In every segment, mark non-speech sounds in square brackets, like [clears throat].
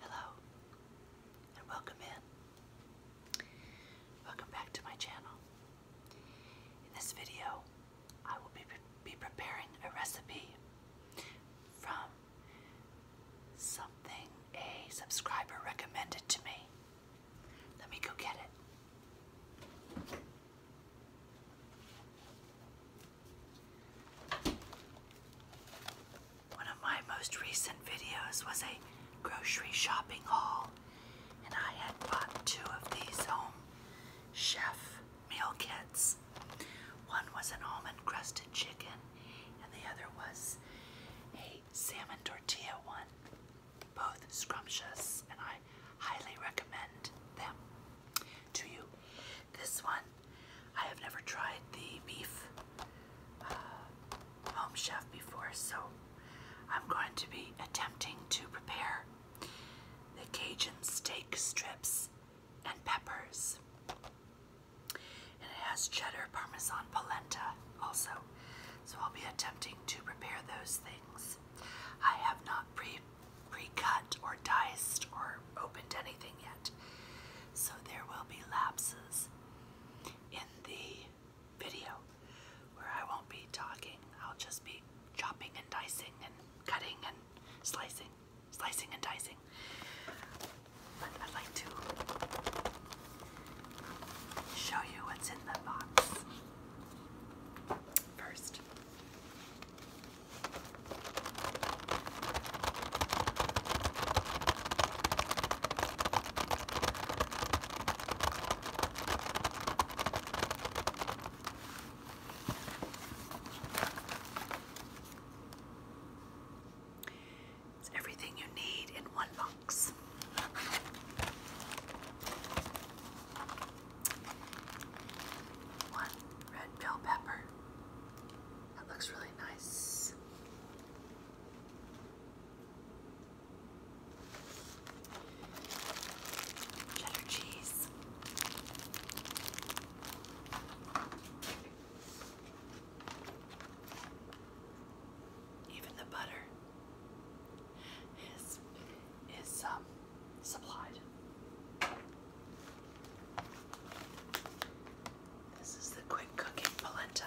Hello and welcome in. Welcome back to my channel. In this video, I will be, be preparing a recipe from something a subscriber recommended to me. Let me go get it. One of my most recent videos was a grocery shopping haul, and I had bought two of these home chef meal kits. One was an almond crusted chicken, and the other was a salmon tortilla one. Both scrumptious, and I highly recommend them to you. This one, I have never tried the beef uh, home chef before, so I'm going to be attempting to prepare the Cajun steak strips and peppers. And it has cheddar parmesan polenta also. So I'll be attempting to prepare those things. I have not pre pre or diced or opened anything yet. So there will be lapses in the video where I won't be talking. I'll just be chopping and dicing and cutting and slicing, slicing and dicing. But I'd like to show you what's in the box. First, it's everything you need in one box. One red bell pepper. That looks really nice. Cheddar cheese. Even the butter is is um supplied. This is the quick cooking polenta.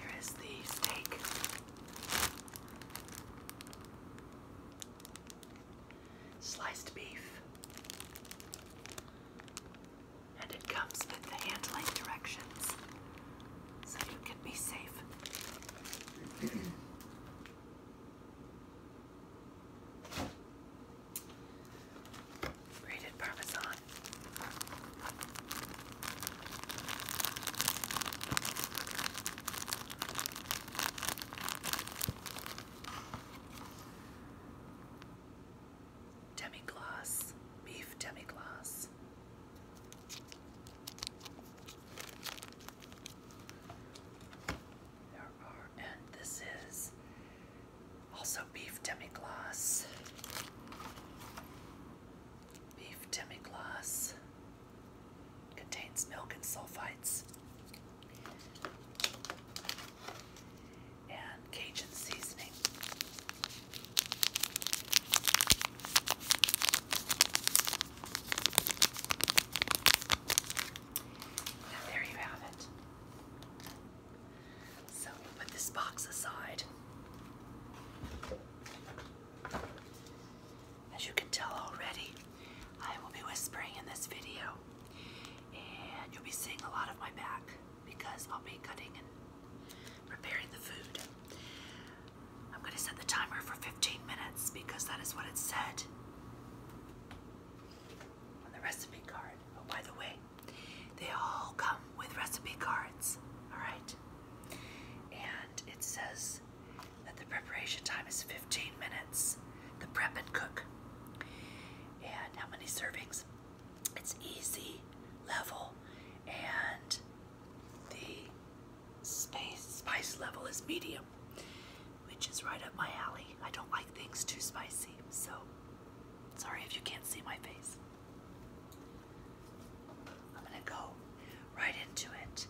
Here is the steak. Sliced beef. And it comes with the handling directions so you can be safe. [clears throat] Grated Parmesan. Demi glass, beef demi glass. There are, and this is also beef demi glass. Beef demi glace contains milk and sulfites. And Cajun seasoning. there you have it. So we put this box aside. As you can tell already, I will be whispering in this video, and you'll be seeing a lot of my back because I'll be cutting and preparing the food. I'm going to set the timer for 15 minutes because that is what it said on the recipe card. Oh, by the way, they all come with recipe cards, alright? And it says that the preparation time is 15 minutes, the prep and cook. And how many servings? It's easy, level, and the spice level is medium, which is right up my alley. I don't like things too spicy, so sorry if you can't see my face. I'm going to go right into it.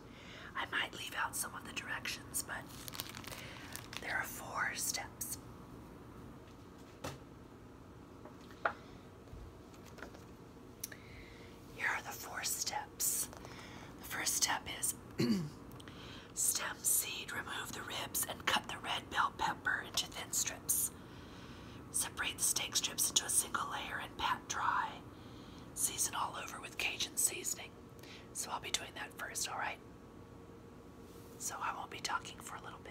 I might leave out some of the directions, but there are four steps. Here are the four steps. The first step is [clears throat] stem seed, remove the ribs, and cut the red bell pepper into thin strips. Separate the steak strips into a single layer and pat dry. Season all over with Cajun seasoning. So I'll be doing that first, alright? So I won't be talking for a little bit.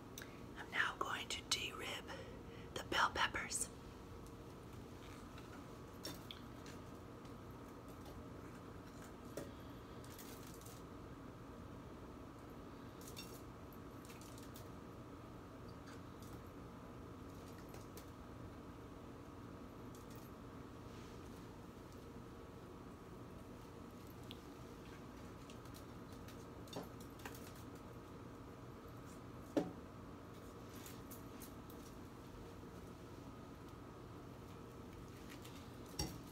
I'm now going to rib the bell peppers.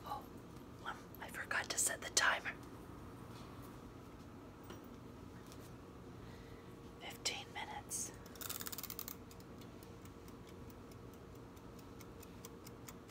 Oh, um, I forgot to set the timer. Fifteen minutes.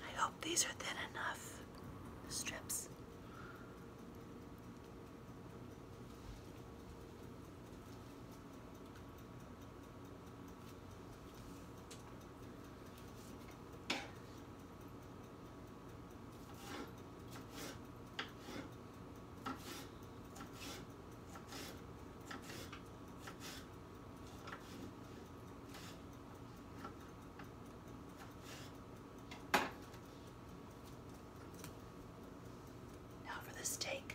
I hope these are thin enough, the strips. Now for the steak.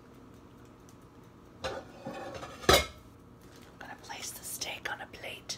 I'm going to place the steak on a plate.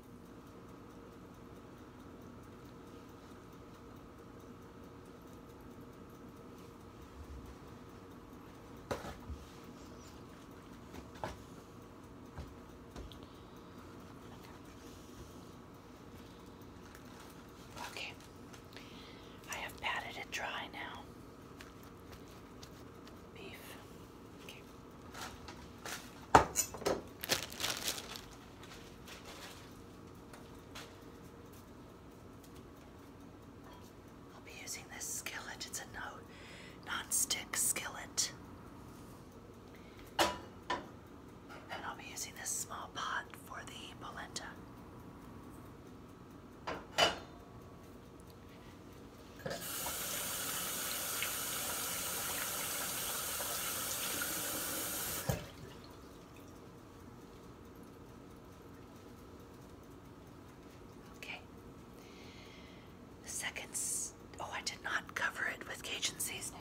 Okay, I have patted it dry now. Beef. I'll be using this skillet. It's a no non-stick skillet. And I'll be using this small pot for the polenta. Okay. The second, oh, I did not cover it with Cajun seasoning.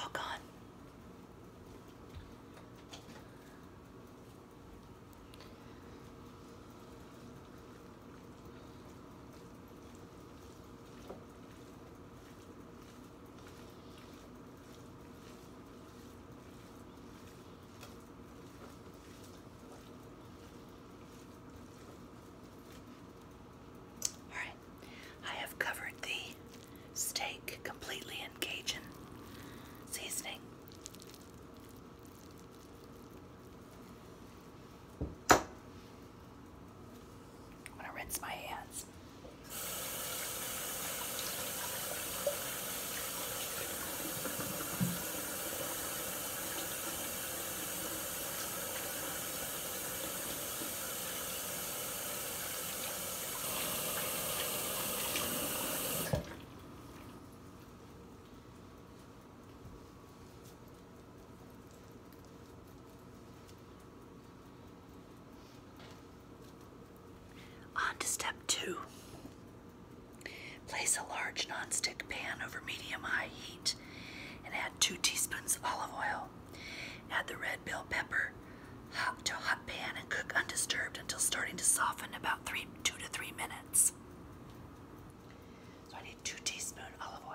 All oh, gone. All right, I have covered the steak completely in Cajun seasoning. I'm gonna rinse my hands. On to step two. Place a large non-stick pan over medium-high heat and add two teaspoons of olive oil. Add the red bell pepper hot to a hot pan and cook undisturbed until starting to soften about three, two to three minutes. So I need two teaspoons olive oil.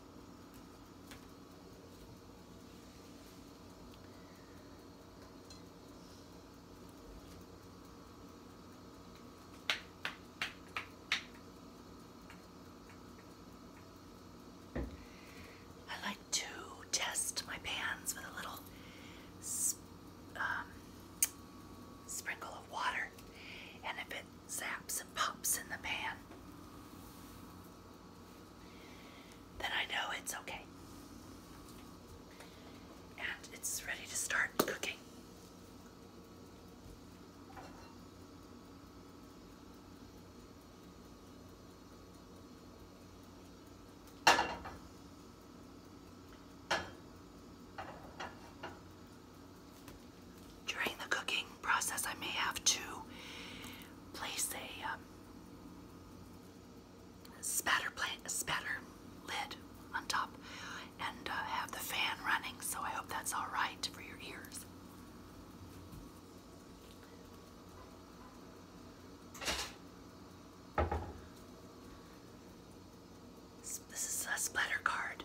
I like to test my pans with a little um, sprinkle of water, and if it zaps and pops in the pan, then I know it's okay. And it's ready to start cooking. During the cooking process, I may have to place a um, spatter plant spatter lid on top and uh, have the fan running so I hope that's all right for your ears this is a splatter card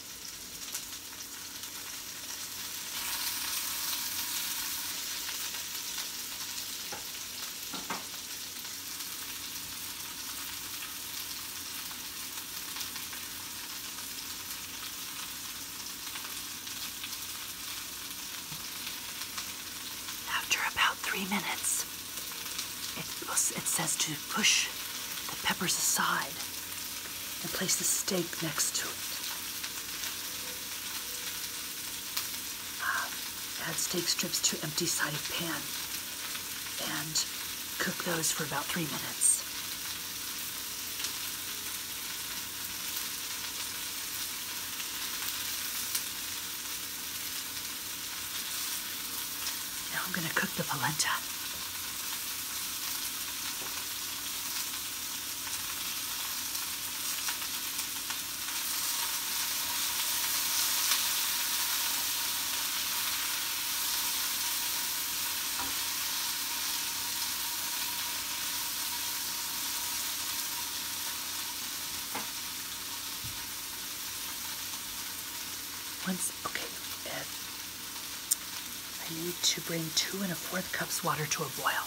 After about three minutes, it, it says to push the peppers aside and place the steak next to it. Um, add steak strips to empty-sided pan and cook those for about three minutes. Now I'm going to cook the polenta. Once, okay, and I need to bring two and a fourth cups water to a boil.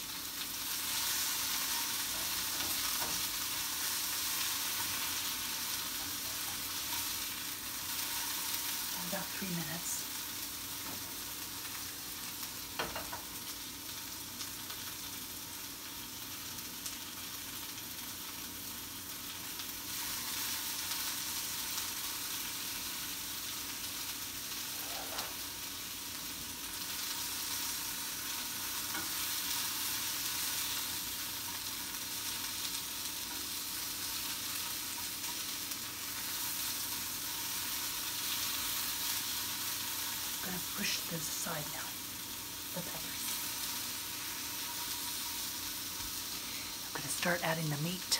about three minutes. I'm going to push this aside now, the peppers. I'm going to start adding the meat.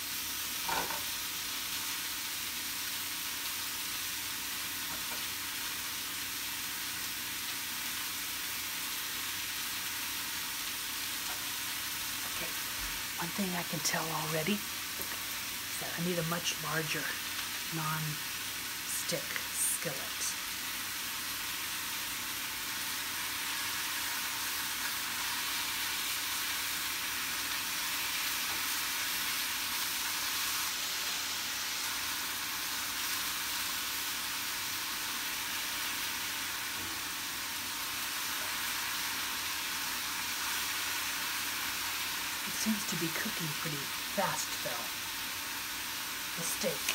One thing I can tell already is that I need a much larger non-stick skillet. It seems to be cooking pretty fast though. The steak.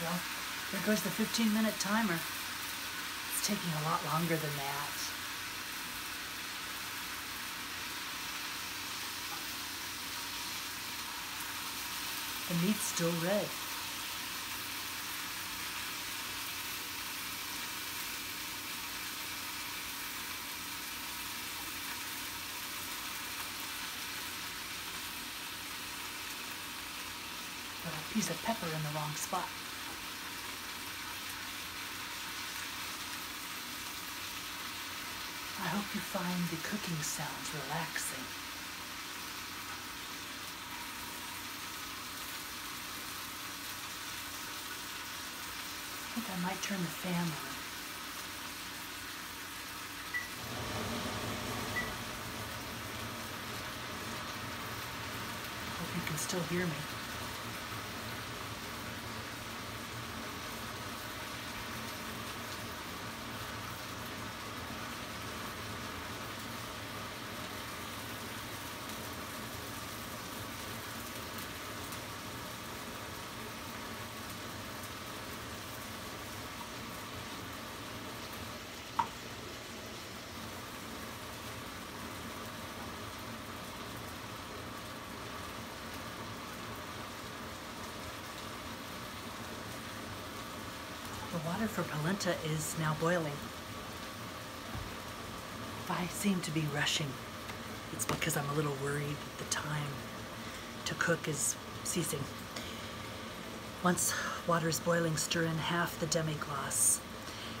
Well, there goes the 15 minute timer. It's taking a lot longer than that. The meat's still red a piece of pepper in the wrong spot. I hope you find the cooking sounds relaxing. I think I might turn the fan on. Hope you can still hear me. The water for polenta is now boiling. I seem to be rushing, it's because I'm a little worried that the time to cook is ceasing. Once water's boiling, stir in half the demi-glace.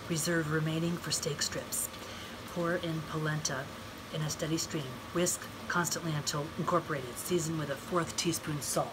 Reserve remaining for steak strips. Pour in polenta in a steady stream. Whisk constantly until incorporated. Season with a fourth teaspoon salt.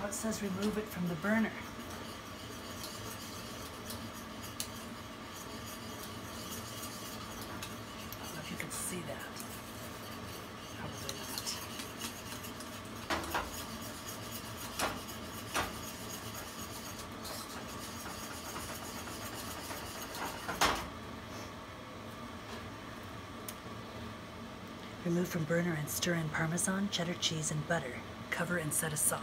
Now it says remove it from the burner. I don't know if you can see that. Remove from burner and stir in Parmesan, cheddar cheese, and butter. Cover and set aside.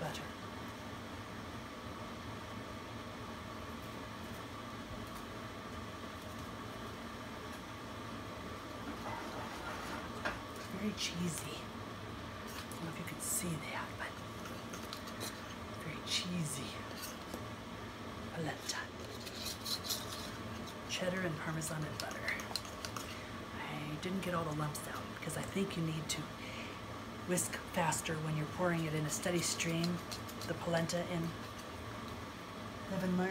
Better. Very cheesy. I don't know if you can see that, but very cheesy polenta cheddar and parmesan and butter. I didn't get all the lumps out because I think you need to whisk faster when you're pouring it in a steady stream, the polenta in. Live and learn.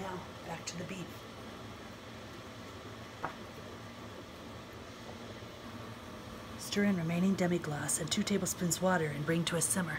Now, back to the beef. Stir in remaining demi-glace and 2 tablespoons water and bring to a simmer.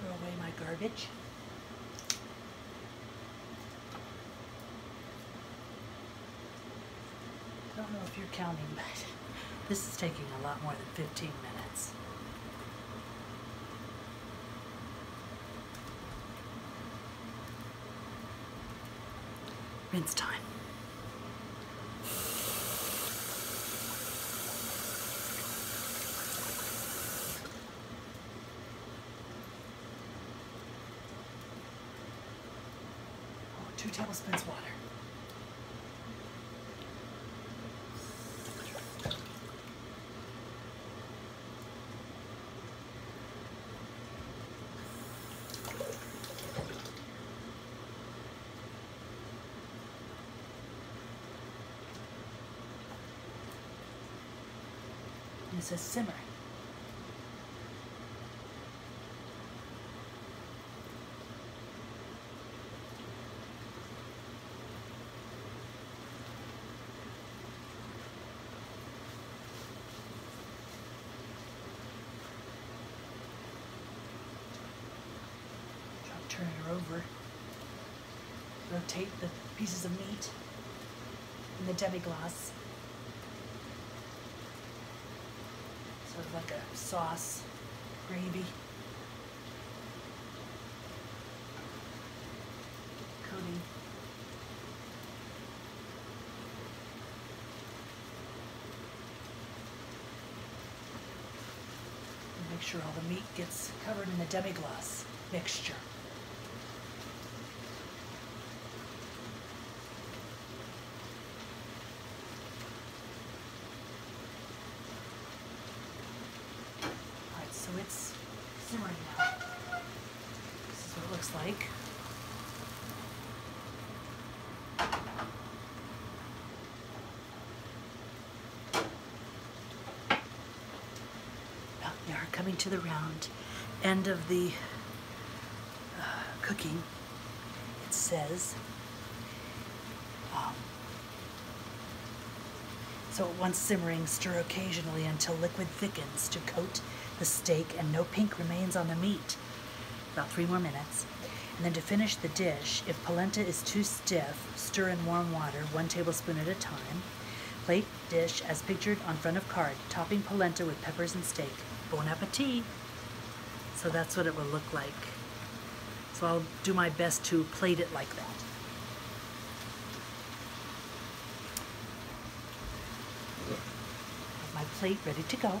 Throw away my garbage. I don't know if you're counting, [laughs] but this is taking a lot more than 15 minutes. Rinse time. Oh, two tablespoons water. And it says simmer turn her over, rotate the pieces of meat in the demi-glace. Sort of like a sauce, gravy. Coating make sure all the meat gets covered in the demi-glace mixture. Alright, so it's simmering now. This is what it looks like. Well, we are coming to the round end of the uh, cooking. It says, um, so. At once simmering, stir occasionally until liquid thickens to coat the steak and no pink remains on the meat. About three more minutes. And then to finish the dish, if polenta is too stiff, stir in warm water, one tablespoon at a time. Plate dish as pictured on front of card, topping polenta with peppers and steak. Bon appetit! So that's what it will look like. So I'll do my best to plate it like that. Have my plate ready to go.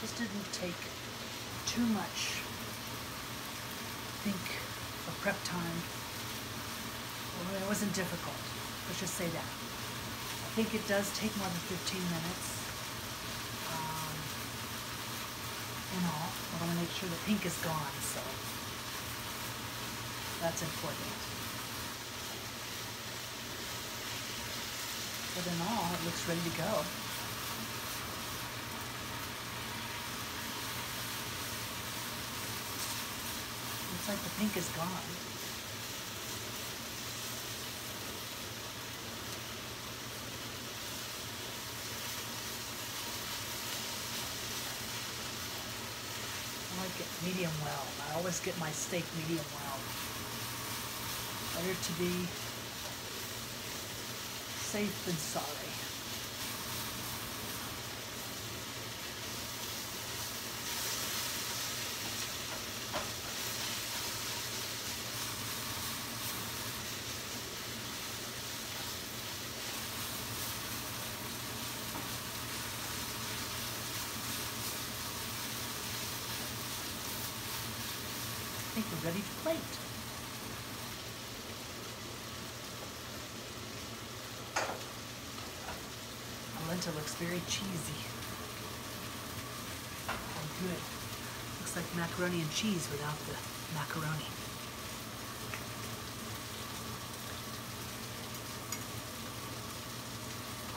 This didn't take too much think of prep time. it wasn't difficult. Let's just say that. I think it does take more than 15 minutes um, in all. I want to make sure the pink is gone, so that's important. But in all, it looks ready to go. Looks like the pink is gone. I like it medium well. I always get my steak medium well. Better to be Safe and sorry. I think we're ready to plate. Polenta looks very cheesy. Oh, good. Looks like macaroni and cheese without the macaroni.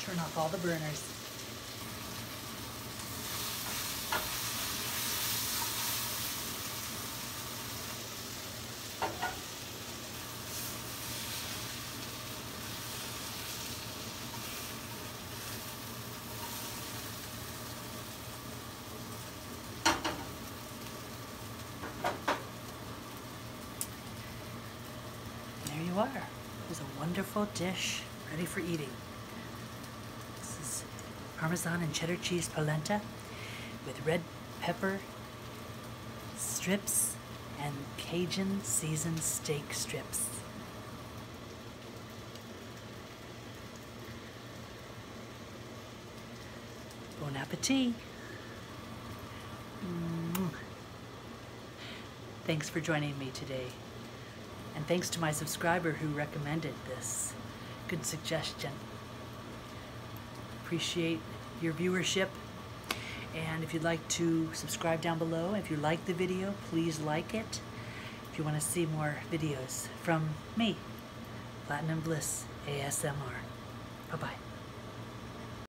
Turn off all the burners. There you are. It's a wonderful dish ready for eating. This is Parmesan and cheddar cheese polenta with red pepper strips and Cajun seasoned steak strips. Bon appetit! Mm. Thanks for joining me today. And thanks to my subscriber who recommended this. Good suggestion. Appreciate your viewership. And if you'd like to subscribe down below, if you like the video, please like it. If you want to see more videos from me, Platinum Bliss ASMR. Bye-bye.